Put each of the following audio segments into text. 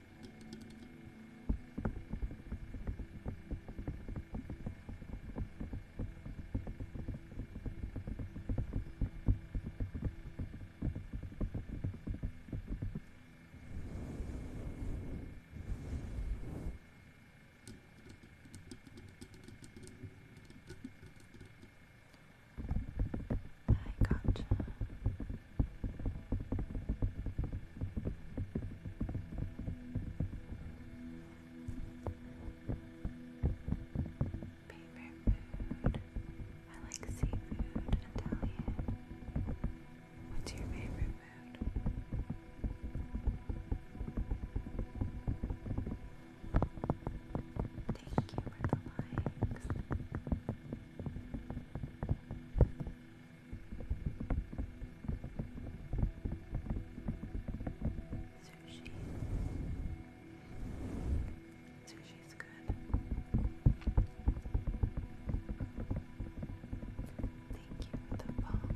I gotcha. Favorite food? I like seafood, Italian. What's your favorite food? Thank you for the likes. Sushi. Sushi's good. Thank you for the follow.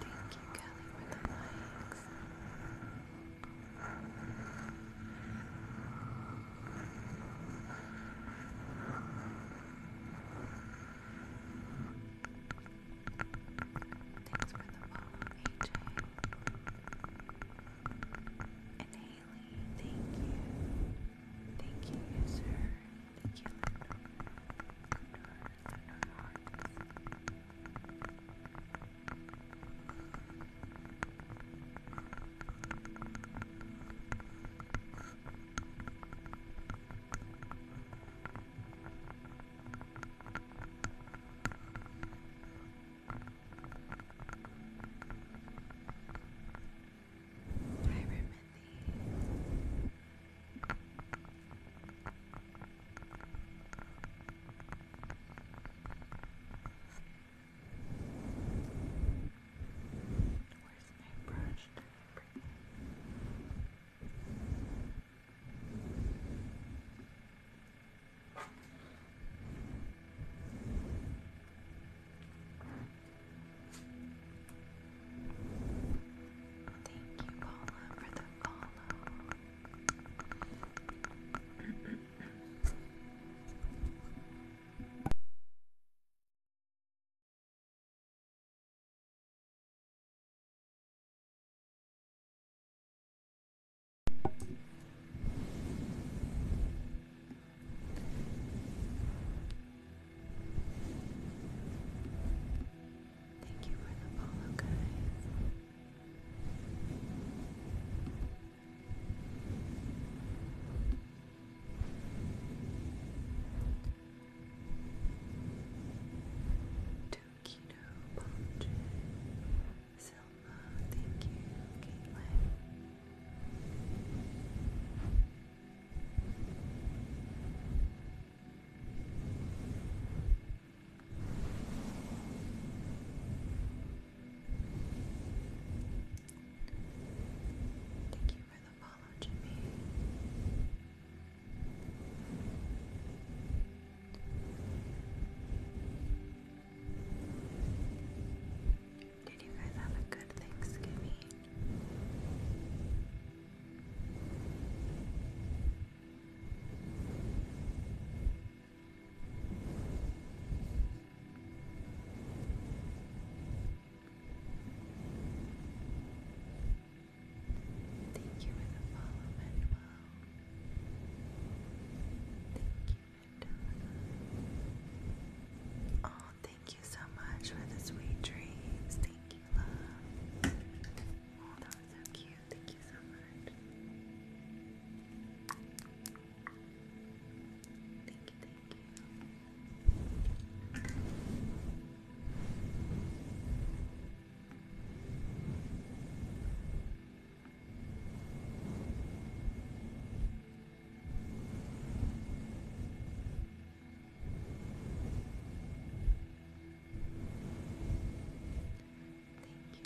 Thank you, Kelly, for the likes. Thanks for the follow, And Haley, thank you. Thank you, user. Thank you, Hi, Remedy. Where's my brush? Bring Thank you, Paula, for the follow. Thank you for the follow, guys. Tokito Ponche Selma, thank you, Caitlin. Thank you for the follow, Jimmy. Did you guys have a good Thanksgiving? Thank you for the follow, Manuel. Thank you, Mandela. Oh, Thank you so much for the sweet dreams. Thank you, love. Oh, that Thank you so much. Thank you, thank you. Thank you,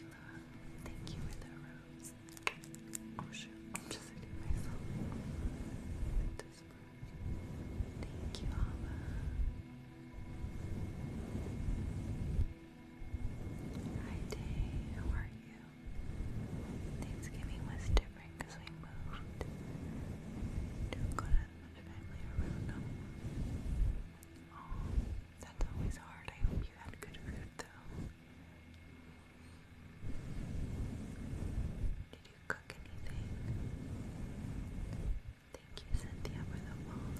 love. Thank you for the rose. Oh just hitting myself with Thank you, Alba. Hi, Day. How are you? Thanksgiving was different because we moved to Koran family around Oh, that's always hard. I hope you had good food though. Did you cook anything? Thank you, Cynthia, for the wall.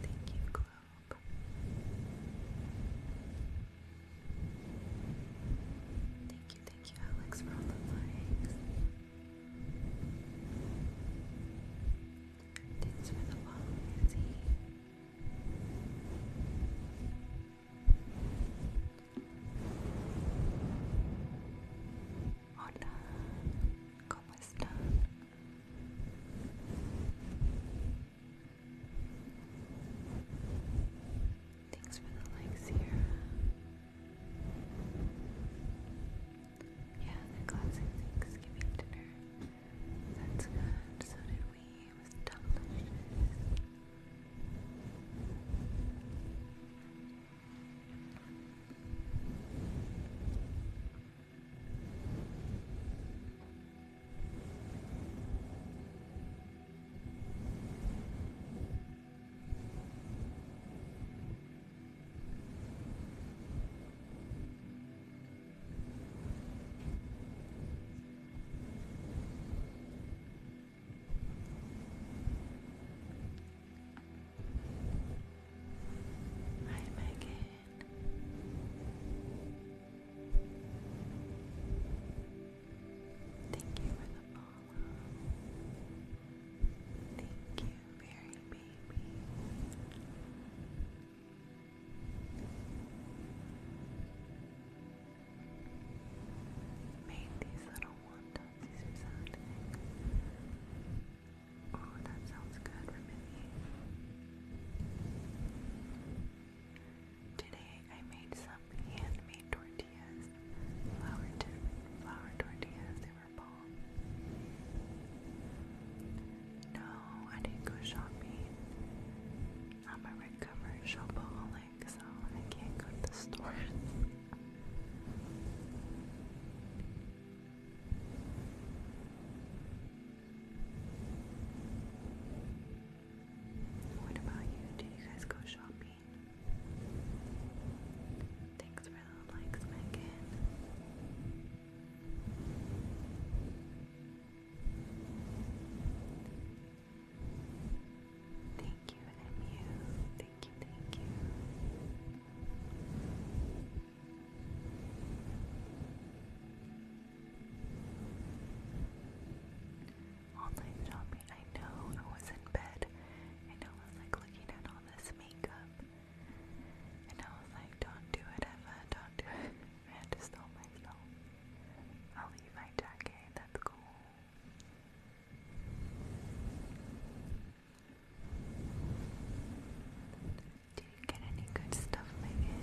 Thank you, Globe. Thank Thank you, Alex, for all the likes. Thanks for the follow, Izzy. Hola, ¿cómo están? Thanks for the like, Sierra. Yeah, the classic Thanksgiving dinner. That's So did we. It was delicious. Hi, Megan. Thank you for the follow. Thank you, Baby. Made these little wontons Oh, that sounds good, Remini. Today I made some handmade tortillas tortillas, flour, tortillas, they were bomb. No, I didn't go shopping. I'm a recovered shopaholic, so I can't go to the What about you? Do you guys go shopping? Thanks for the likes, Megan. Thank you, MU. Thank you, thank you online shopping. I know I was in bed and I was like looking at all this makeup and I was like, don't do it, Eva, don't do it. I had to stop myself. I'll leave my jacket, that's cool. Did you get any good stuff, Megan?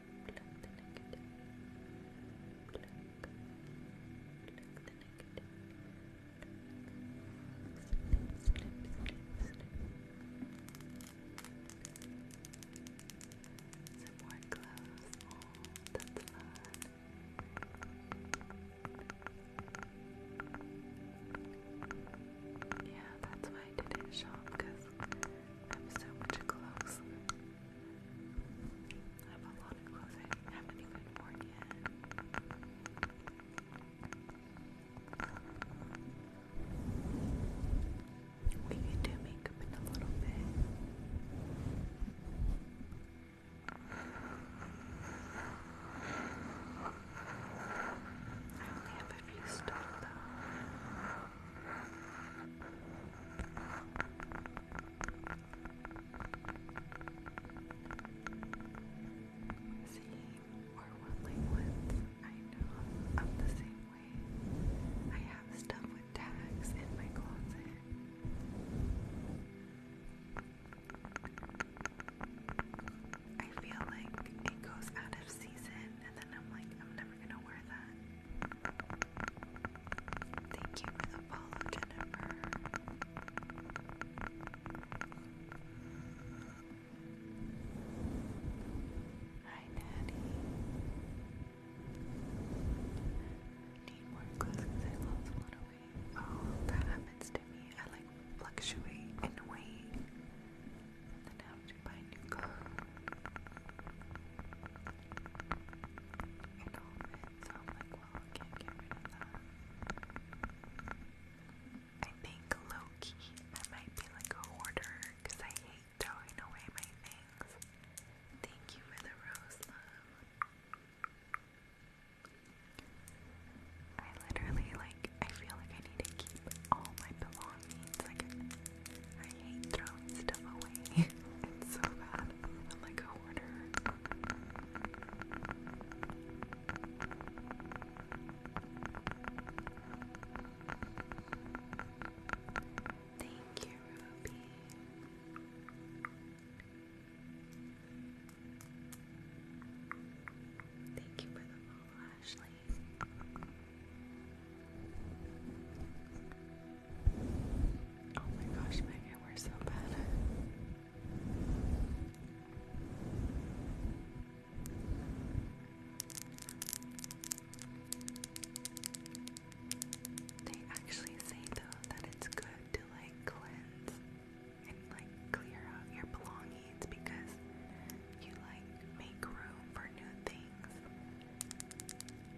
Pluck the negative. Oh, that's fun. Yeah, that's why I didn't shop because I have so much clothes. I have a lot of clothes I haven't even worn yet. We can do makeup in a little bit. I only have a few stuff though. See, we're willing ones. I know I'm the same way. I have stuff with tags in my closet. I feel like it goes out of season, and then I'm like, I'm never gonna wear that. Thank you for the follow, Jennifer. Hi, Natty. Need more clothes because I lost one away. Oh, that happens to me. I like fluctuate in weight then have to buy new clothes. I'm like, that. might be like a hoarder, I hate throwing away my things. Thank you for the rose, I literally, like, I feel like I need to keep all my belongings, hate throwing stuff away. it's so bad. I'm like a hoarder. Thank you, Ruby. Thank you for the follow, Ashley. Oh my gosh, Megan, we're so bad. They actually say though that it's good to like cleanse and like clear out your belongings because you like make room for new things.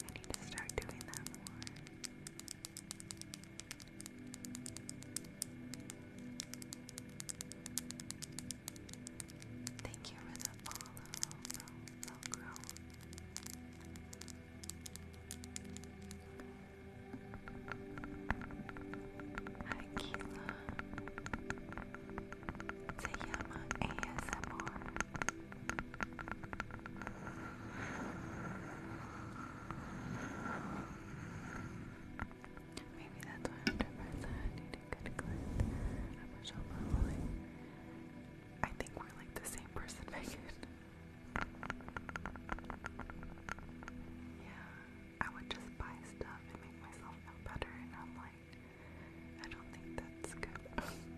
I need to start doing that more. Thank you for the follow, Velcro. Hi, Keela. Sayama ASMR. Maybe that's why I'm depressed. I need a good clip. I'm a show I think we're like the same person, Megan. Yeah, I would just buy stuff and make myself feel better, and I'm like, I don't think that's good.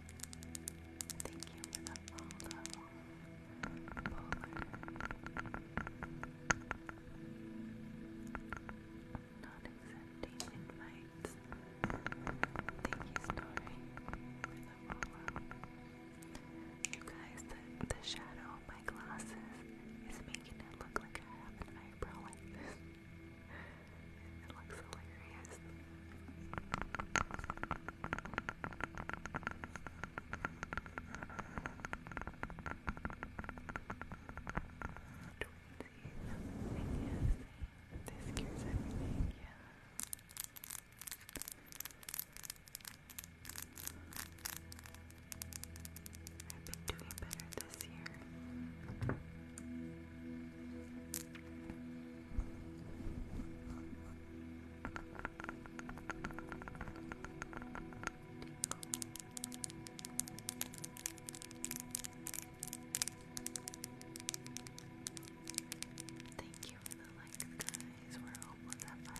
Thank you for the follow. Not accepting invites. Thank you, Story, for the follow. You guys, the, shadow of my glasses is making it look like I have an eyebrow it looks hilarious. Twinsies. This cures everything, yeah. I've been doing better this year. Thank you for the likes, guys. We're almost at 5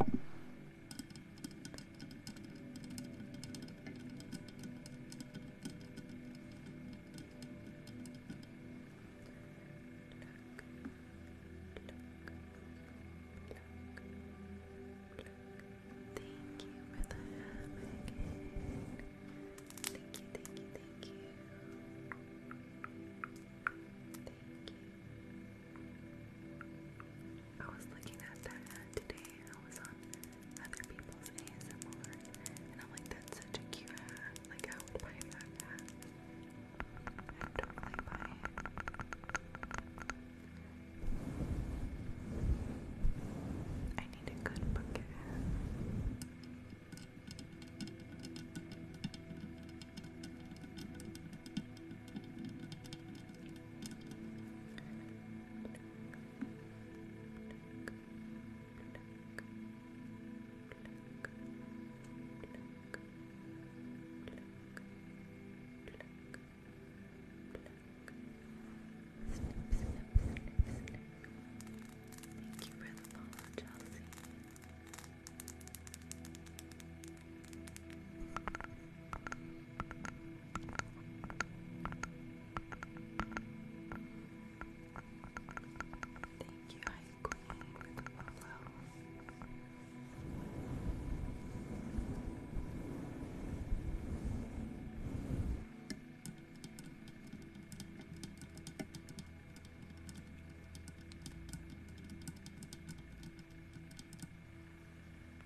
Thank you for the hammock. Thank you, thank you, thank you. Thank you. I was looking at that ad today. I was on other people's ASMR, and I'm like, that's such a cute ad. Like, I would buy that ad. i totally buy it. I need a good bucket ad. Thank you for the follow, Chelsea. Thank you, I Queen, for the follow. Thank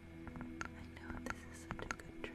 I know this is such a good trigger.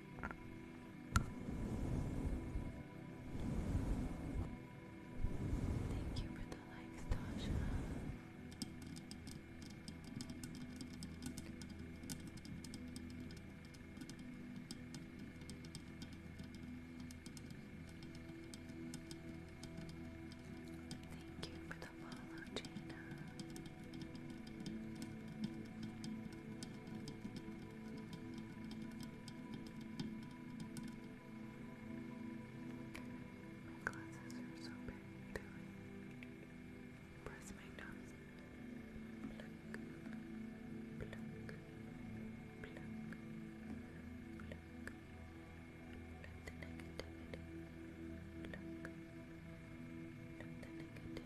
Thank you for the likes, Tasha. Thank you for the follow, Gina. My glasses are so big, they like press my nose. Pluck, pluck, pluck, pluck. Let the negativity pluck. Let the negativity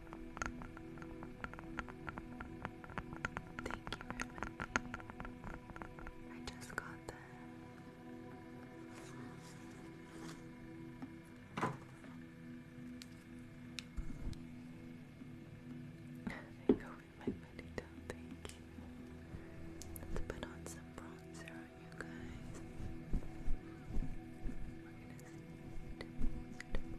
Thank you, Remedy. I just got them. they go my pretty thank you. Let's put on some bronzer you guys.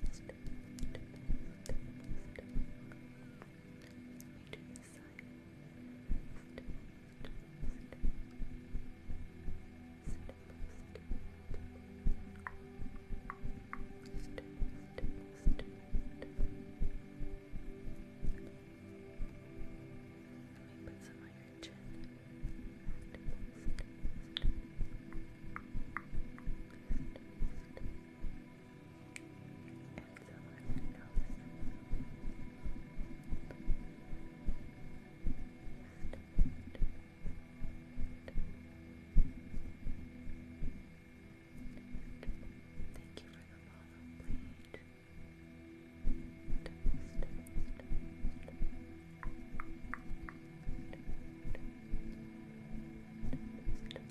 put some on your chin. Thank you for the follow plate. Thank you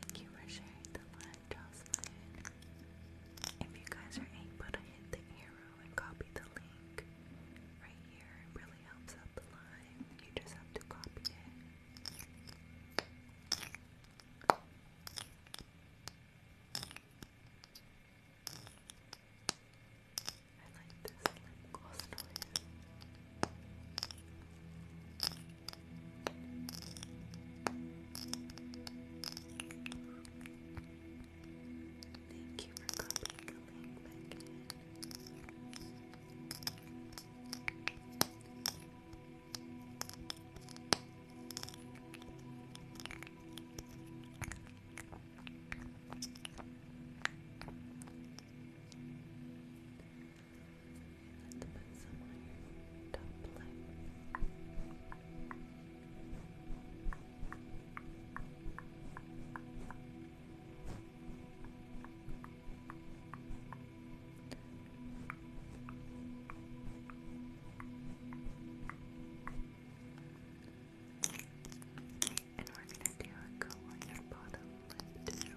Thank you for sharing the live, Jocelyn. If you guys are able to hit the arrow and copy the link right it really helps out the line. You just have to copy it. I like this lip gloss noise. Thank you for copying the link back Let's put some on your top lip. And we're gonna do a go on bottom lip too.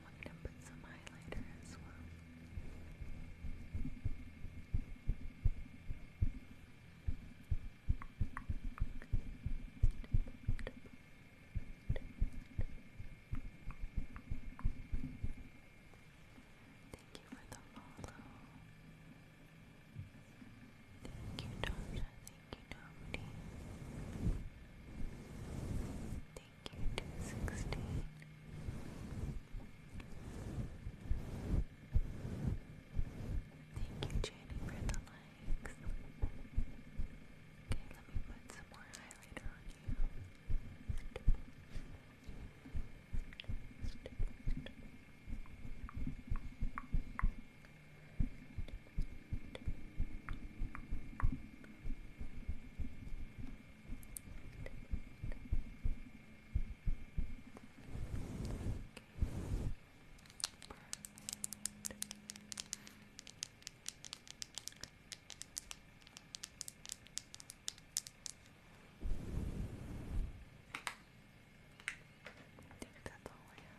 I'm to put some highlighter as well. Thank you for the follow. Thank you, Tasha. Thank you, Dominique. Thank you sixteen. Thank you, Jenny, for the likes. Okay, let me put some more highlighter on you. I think that's all I have.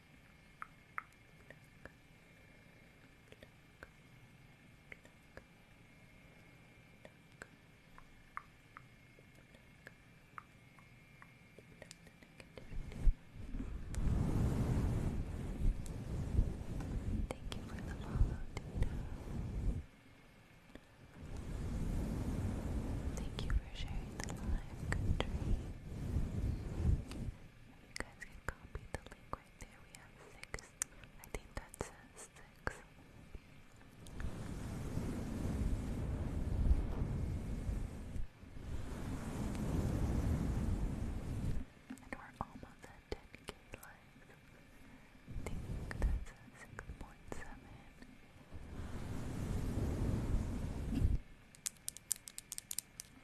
Thank you for the follow, Dina. Thank you for sharing the live country you guys can copy the link there. We have six. I think that says six. And we're almost at 10 I think that's 6.7.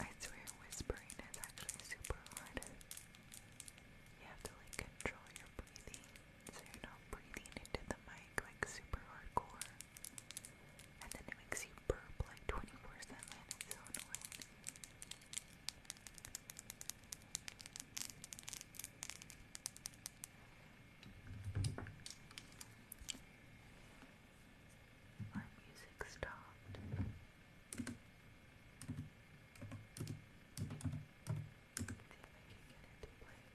I swear whispering is actually super hard. You have to like control your breathing so you're not breathing into the mic like super hardcore. And then it makes you burp like 24 7. It's so annoying. My music stopped. See if I can get it to play again.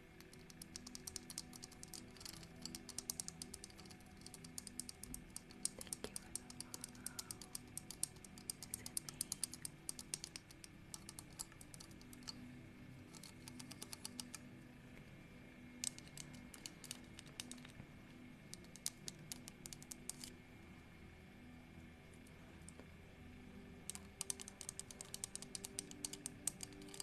Thank you for the follow. Is it me?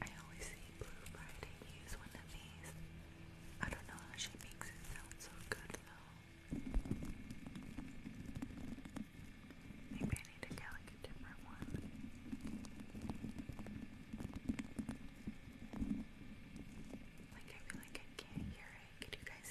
I always see Blue Friday use one of these. I don't know how she makes it sound so good though. Maybe I need to get like a different one. Like I feel like I can't hear it. Could you guys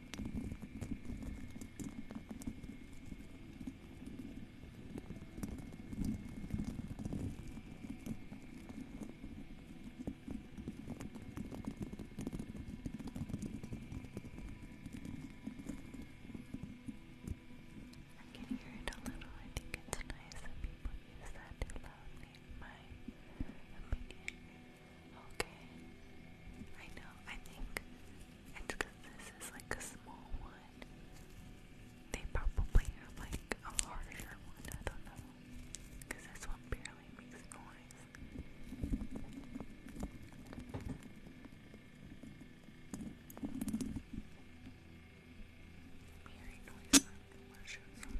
I can hear it a little. I think it's nice that people use that to loudly, my opinion. Okay. I know. I think it's because this is like a small one. They probably have like a larger one. I don't know. Because this one barely makes noise. I'm hearing noise from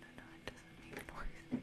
No, no, it doesn't make noise.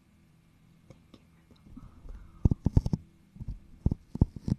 Thank you for the follow. Thank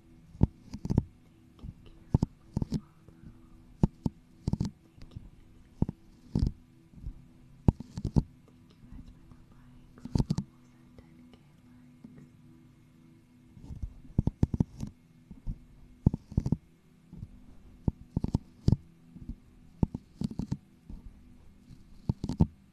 Thank you guys for the likes. We're almost at 10k likes.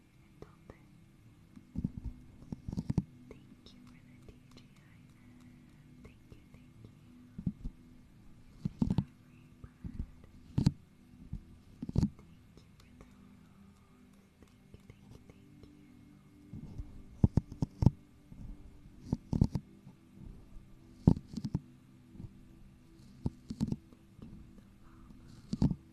Thank you for the TGI. Thank you, thank you. Thank you for the rose. Thank you, thank you, thank you. Thank you for the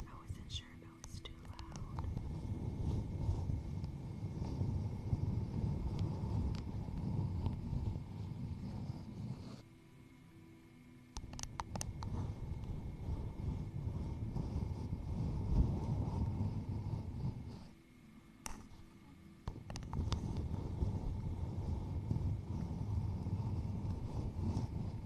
I wasn't sure if it was too loud.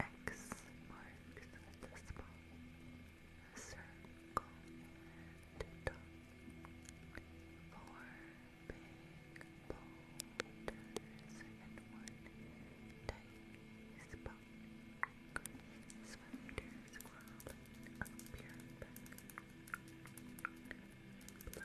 X marks the spot, a circle and a Four big boulders and one tiny spot spiders crawling up your back blood gushing down spiders crawling up your and blood gushing down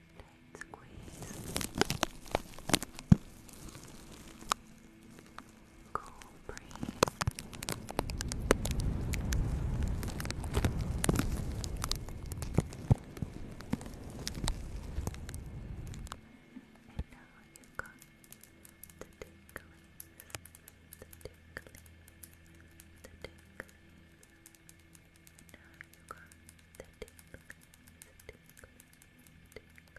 tight squeeze. Cool breeze. And now you got the tickling, the tickling, the tickling. And now you got the tickling, the tickling, X marks the spot.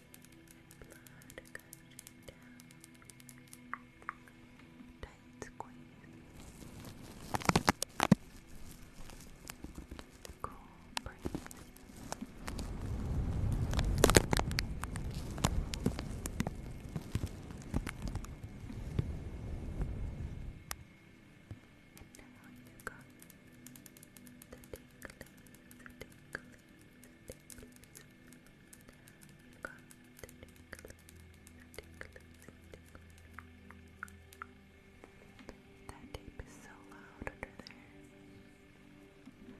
Blood gushing down. Tight squeeze. Cool breeze. And now you got that tape is so loud under there. Thank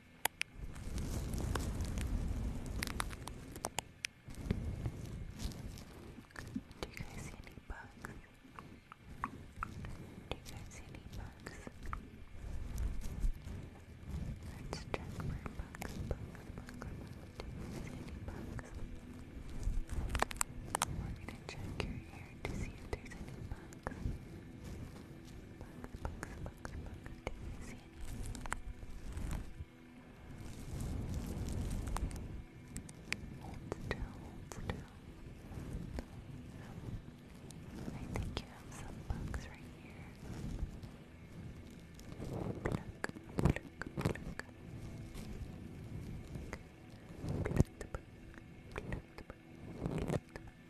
Do you guys see any bugs? Do you guys see any bugs? Let's check for bugs, bugs, bugs, bugs. Do you see any bugs? We're gonna check your hair to see if there's any bugs. Bugs, bugs, bugs, bugs. Do you see Hold still, hold still. I think you have some bugs right here. Pluck, pluck, pluck. Pluck the bug, pluck the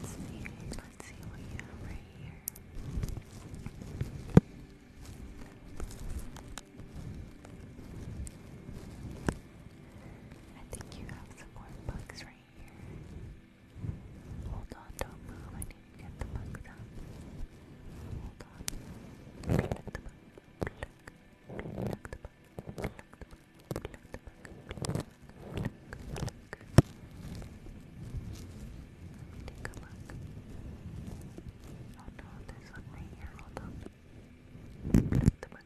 Let's see, let's see what you have right here. I think you have some more bugs right here. Hold on, don't move. I need to get the bugs out. Hold on. Pluck, pluck, pluck, Pluck the bug. Pluck the bug. Pluck the bug. Pluck, pluck, pluck. Take a look. Oh no, there's one right here. Hold on. Pluck the bug.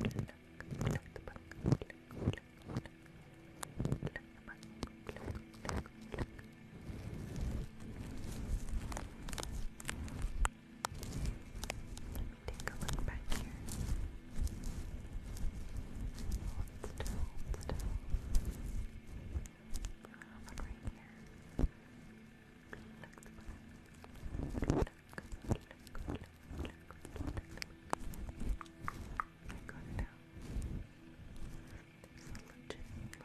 Pluck, pluck, pluck the bug. Pluck, pluck, pluck. Pluck the bug. Pluck, pluck, pluck. Take a look back here. Hold still, hold still. Have one right here. Look the look, look, look, look, look, look. I got it out. There's a legit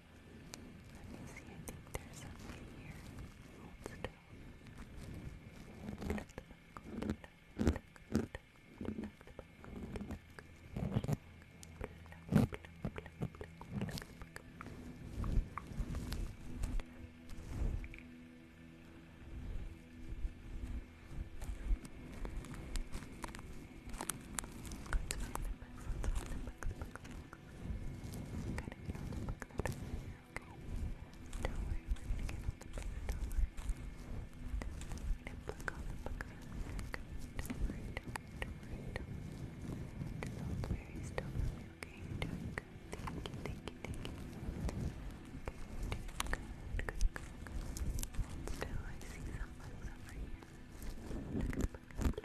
Let me see, I think there's something here. Let's find Gotta get on the book that here, okay? Don't worry, we're gonna get on the book, don't worry. We're gonna book on the book okay? Don't worry, don't worry, don't worry, don't worry. Just hold very still for me, okay? You're doing good. Thank you, thank you, thank you. Okay, you're doing good, good, good, good. Hold still, I see someone over here. Look at the book.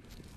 you have three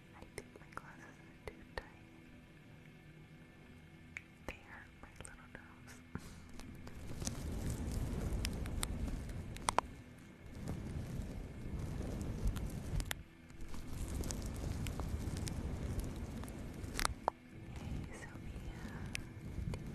I think my glasses are too tight. They hurt my little nose. Hey Sophia,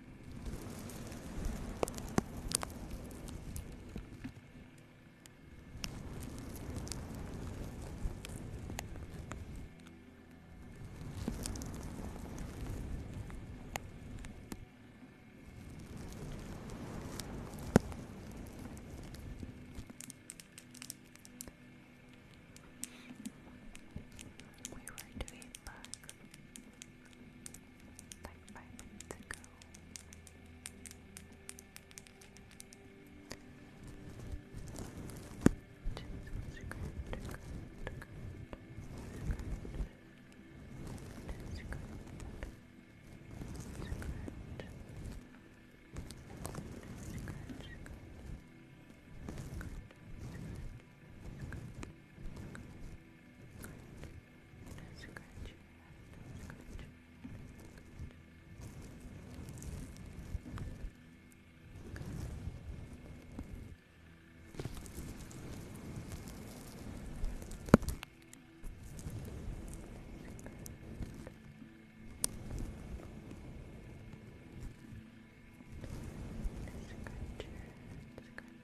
We were doing like five minutes ago. Just scratch, scratch, scratch, scratch, scratch, scratch, scratch. Good. Good. Good. Good. Good. That's scratch. That's scratch. Scratcher, scratcher,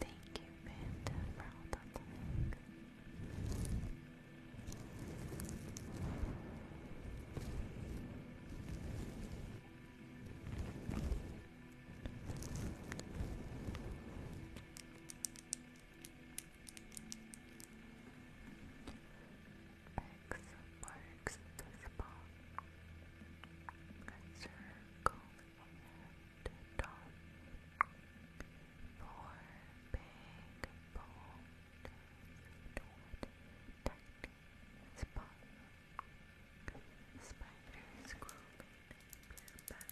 Thank you, Panda, for all the X marks spot. circle dot. Four big boulders toward tiny spot. Spiders crawling in your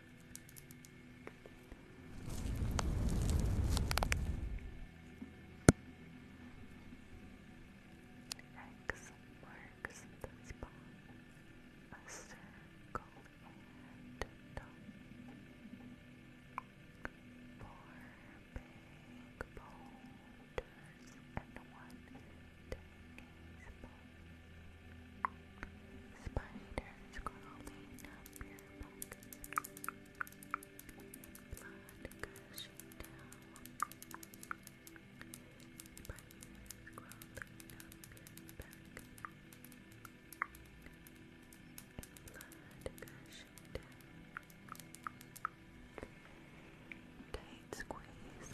X marks the spot. A dot. Four big boulders and one Spiders crawling up your back. Blood gushing down. Spiders crawling up your back. Blood gushing down. Tight squeeze.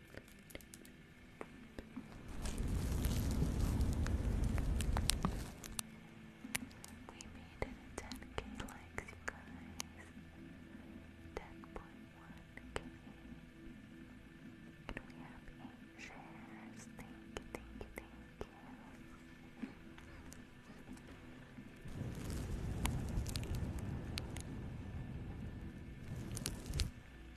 we made it 10k likes, you guys. 10.1k. And we have 8 shares. thank you, thank you. Thank you,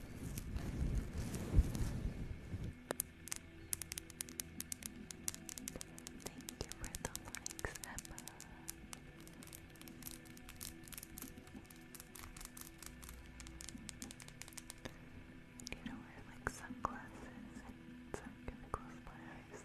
Thank you for the likes, Emma. Do you wear like sunglasses and I'm gonna close my eyes?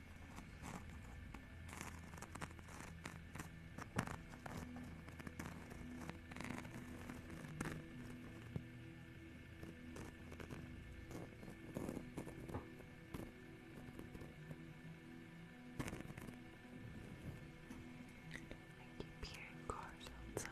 I keep hearing cars outside.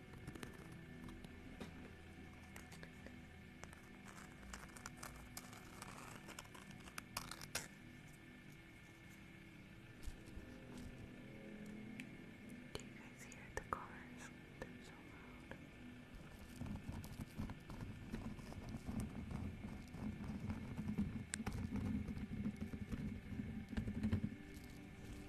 Do you guys hear the cars? They're so loud.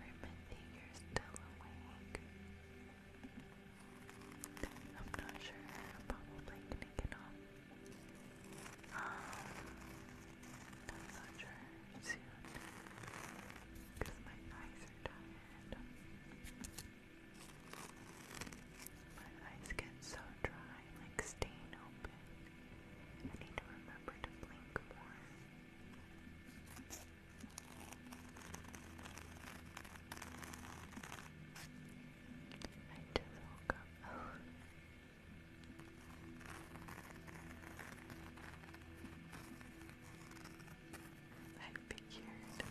Remending you're still awake. I'm not sure, I'm probably gonna get off I'm not sure because my eyes are tired. My eyes get so dry, like staying open. I need to remember to blink more. I just woke up. Oh, I figured. I know.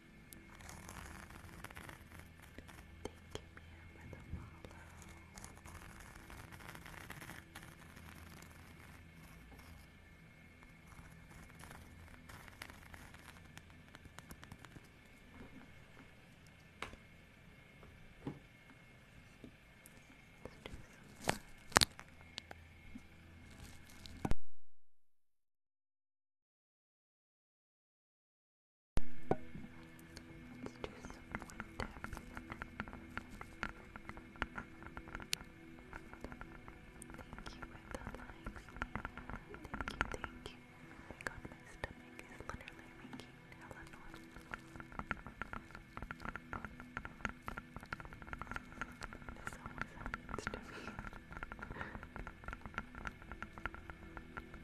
Thank you, Mia, for the follow. Let's do some Let's do some more tapping. Thank you for the likes. Thank you, thank you. Oh my god, my stomach is literally making hella noise. This always happens to me.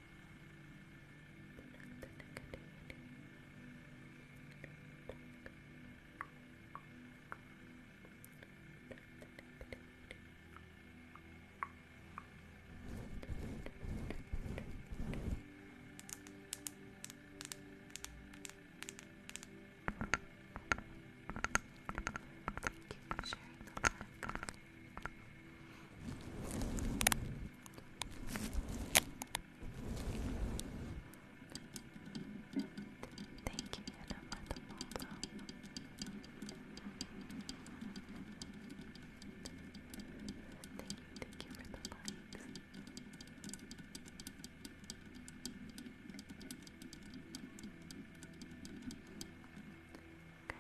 Connect the negativity. Thank you for sharing the live. Thank you, for the photo. Thank you, thank you for the likes. Guys,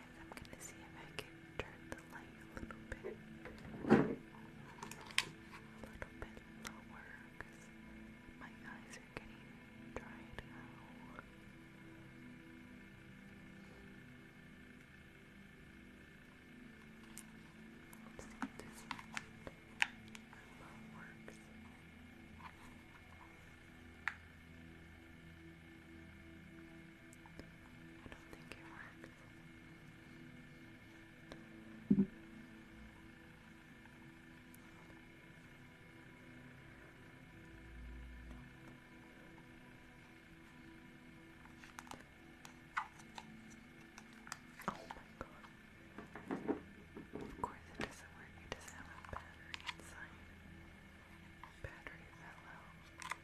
I'm gonna see if I can turn the light a little bit, a little bit lower, my eyes are getting dried out. Let's see if this works. I do Oh my god. Of course it doesn't work, it doesn't have a battery inside. Battery fell out.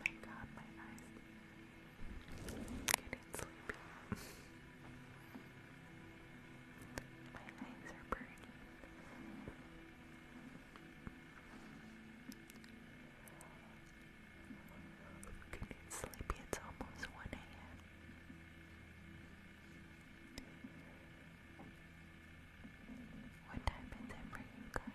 My god, my eyes. getting sleepy. my eyes are burning. getting sleepy. It's almost 1 a.m. What time is it for you guys?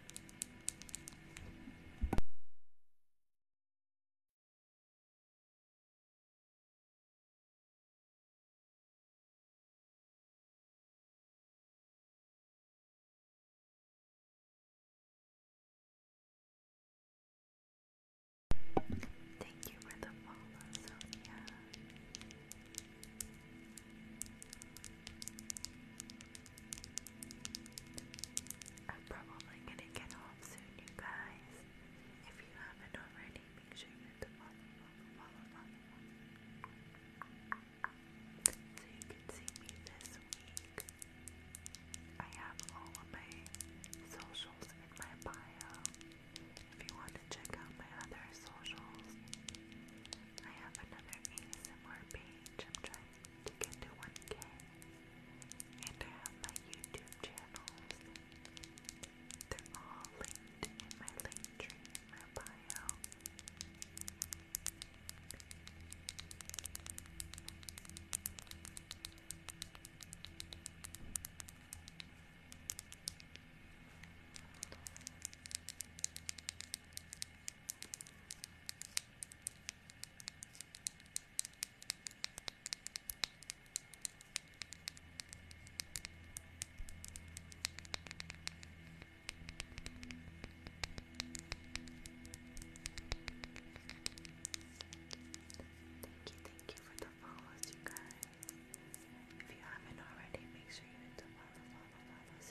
Thank you for the follow, Sonia. I'm probably gonna get off soon, you guys. If you haven't already, make sure you hit the follow, follow, follow, follow. So you can see me this week. I have all of my socials in my bio. If you want to check out my other socials, I have another ASMR page. I'm trying to get to 1K. And I have my YouTube channels. They're all linked in my link tree my bio. Thank you, thank you for the follows, you guys. If you haven't already, make sure you hit the follow, follow,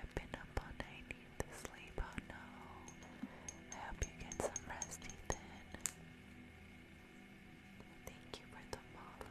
I've been up all night, need to sleep, oh no. I hope you get some rest, Ethan. Thank you for the follow.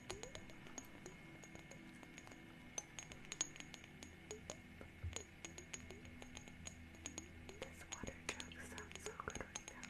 This water jug sounds so good right now.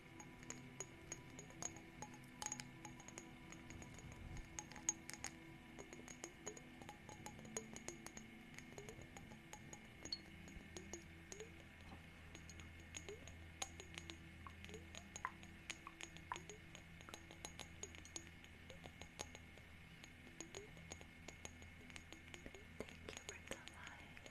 Thank you for the light.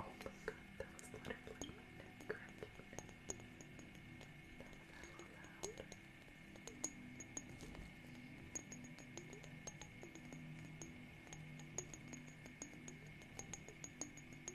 Oh my god, that was literally my neck cracking. That was loud. Thank you.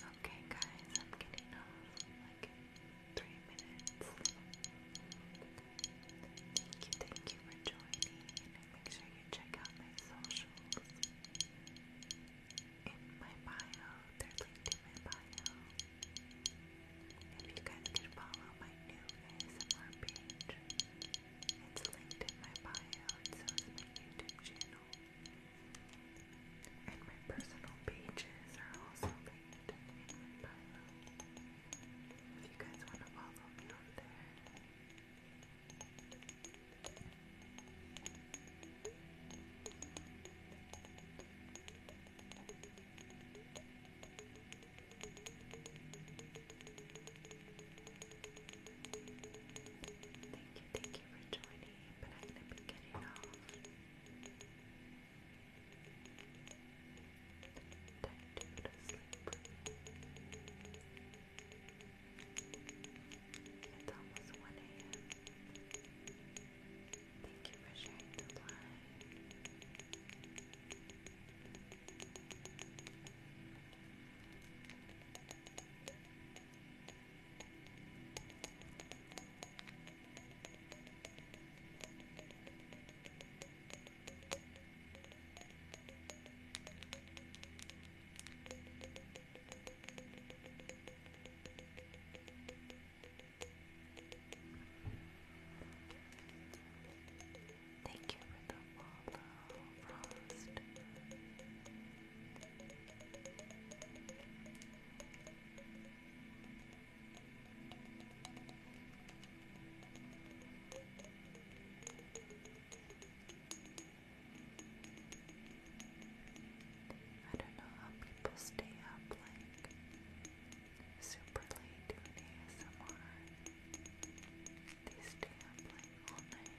Okay, guys, I'm getting off in like three minutes. Thank you, thank you for joining. Make sure you check out my socials. In my bio, they're linked in my bio. If you guys could follow my new ASMR page, it's linked in my bio, so is my YouTube channel. And my personal pages are also linked in my bio. If you guys want to follow me on there. Thank you, thank you for joining, but I'm going to be getting off. Time to go to sleep. It's almost 1 a.m. Thank you for sharing the line. Thank you Thank you for the wallow, Frost. I don't know how people stay up like super late doing ASMR. They stay up like all night.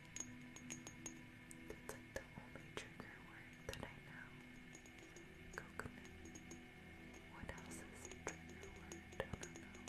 That's like the only trigger word that I know. Coconut. What else is a trigger word? I don't know.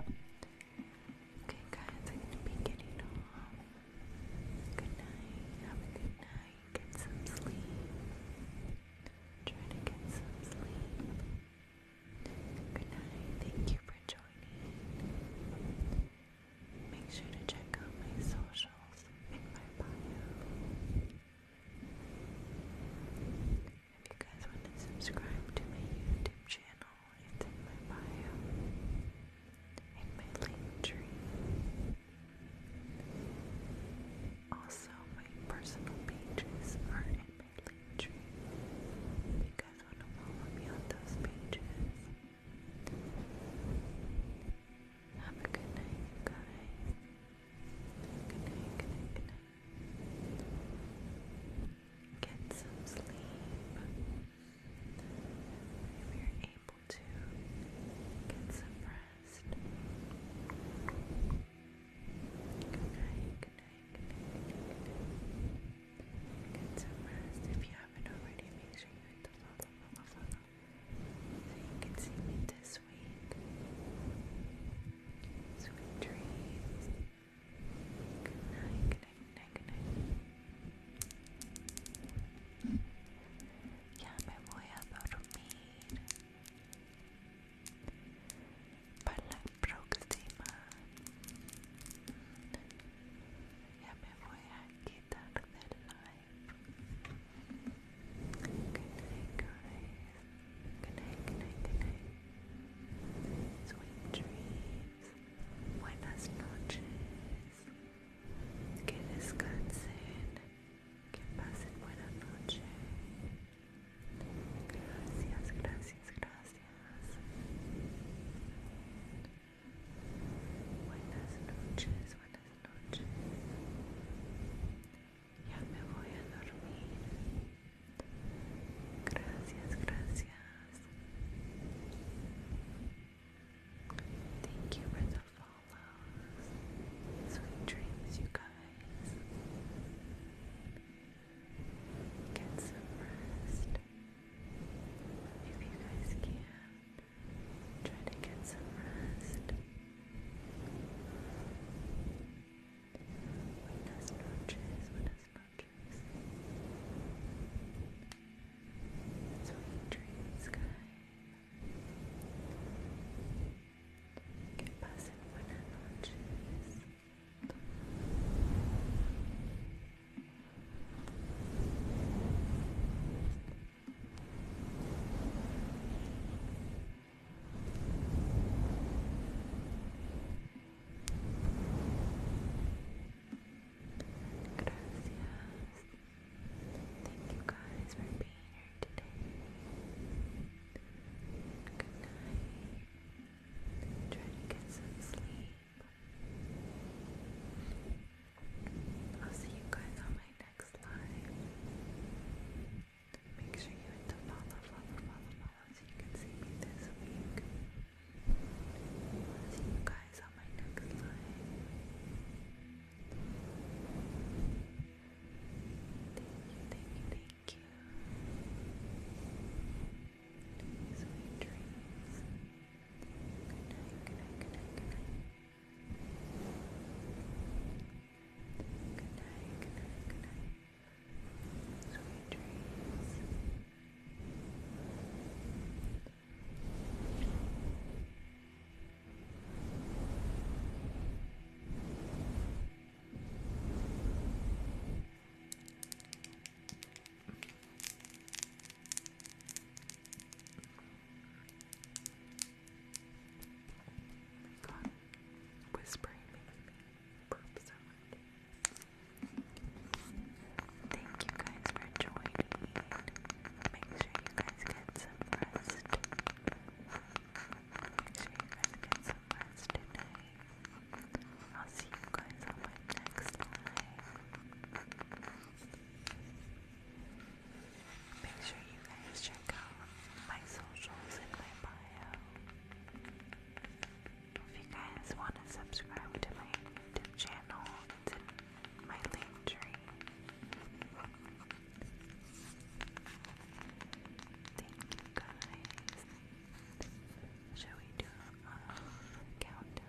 Okay, guys, I'm gonna be getting off. Good night. Have a good night. Get some sleep. Try to get some sleep. Good night. Thank you for joining. Make sure to check out my socials in my bio. If you guys want to subscribe to my YouTube channel, it's in my bio, in my link tree. Also, my personal pages are in my link tree. If you guys want to follow on those pages. Have a good night, guys. good night, good night. Get some sleep. If you're able to, get some rest. Good night, good night, good night, Get some rest. If you haven't already, make sure you hit the follow, follow, follow. So you can see me this week. Sweet dreams night, night, night, night. Ya me voy a dormir. Para la próxima. Ya me voy a quitar del live. night, night, night, night. Sweet dreams. buenas noches, que descansen, que pasen buenas noches Gracias, gracias, gracias. Buenas noches, buenas noches. Ya me voy a dormir. Thank you for the follows. Sweet dreams, you guys. Get some rest. If you guys can, try to get some rest. Buenas noches, sponges. Sweet dreams, guys. Que pasen buenas noches. Good Thank you guys for being here today. Good night. Try to get some sleep. I'll see you guys on my next live. Make sure you hit follow as you can see me this week. see you guys on my next live. Thank you, good night, good night. Good night, good night, good night. Sweet dreams. Oh my God. Whispering makes me burp so much. Thank you guys for joining. Make sure you guys get some rest. Make sure you guys get some rest tonight. I'll see you guys on my next live. Make sure you guys check out my socials in my bio. If you guys want to subscribe to my channel, it's my link tree. Thank you guys. Shall we do a countdown? Ten.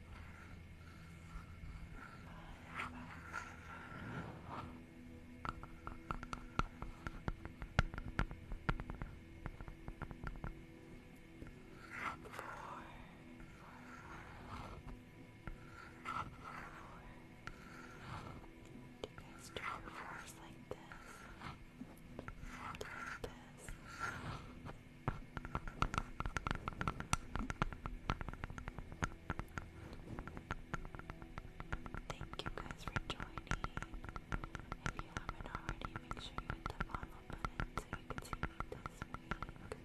Do you guys turn your force like this? Like this. Thank you guys for joining. If you haven't already, make sure you hit the follow button so you can see this week.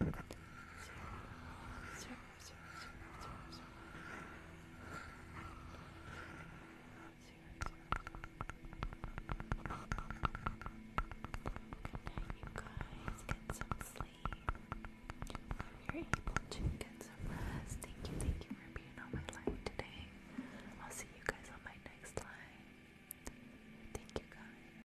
you guys. Get some sleep. If are able to get some rest. Thank you, thank you for being on my live today. I'll see you guys on my next live. Thank you guys.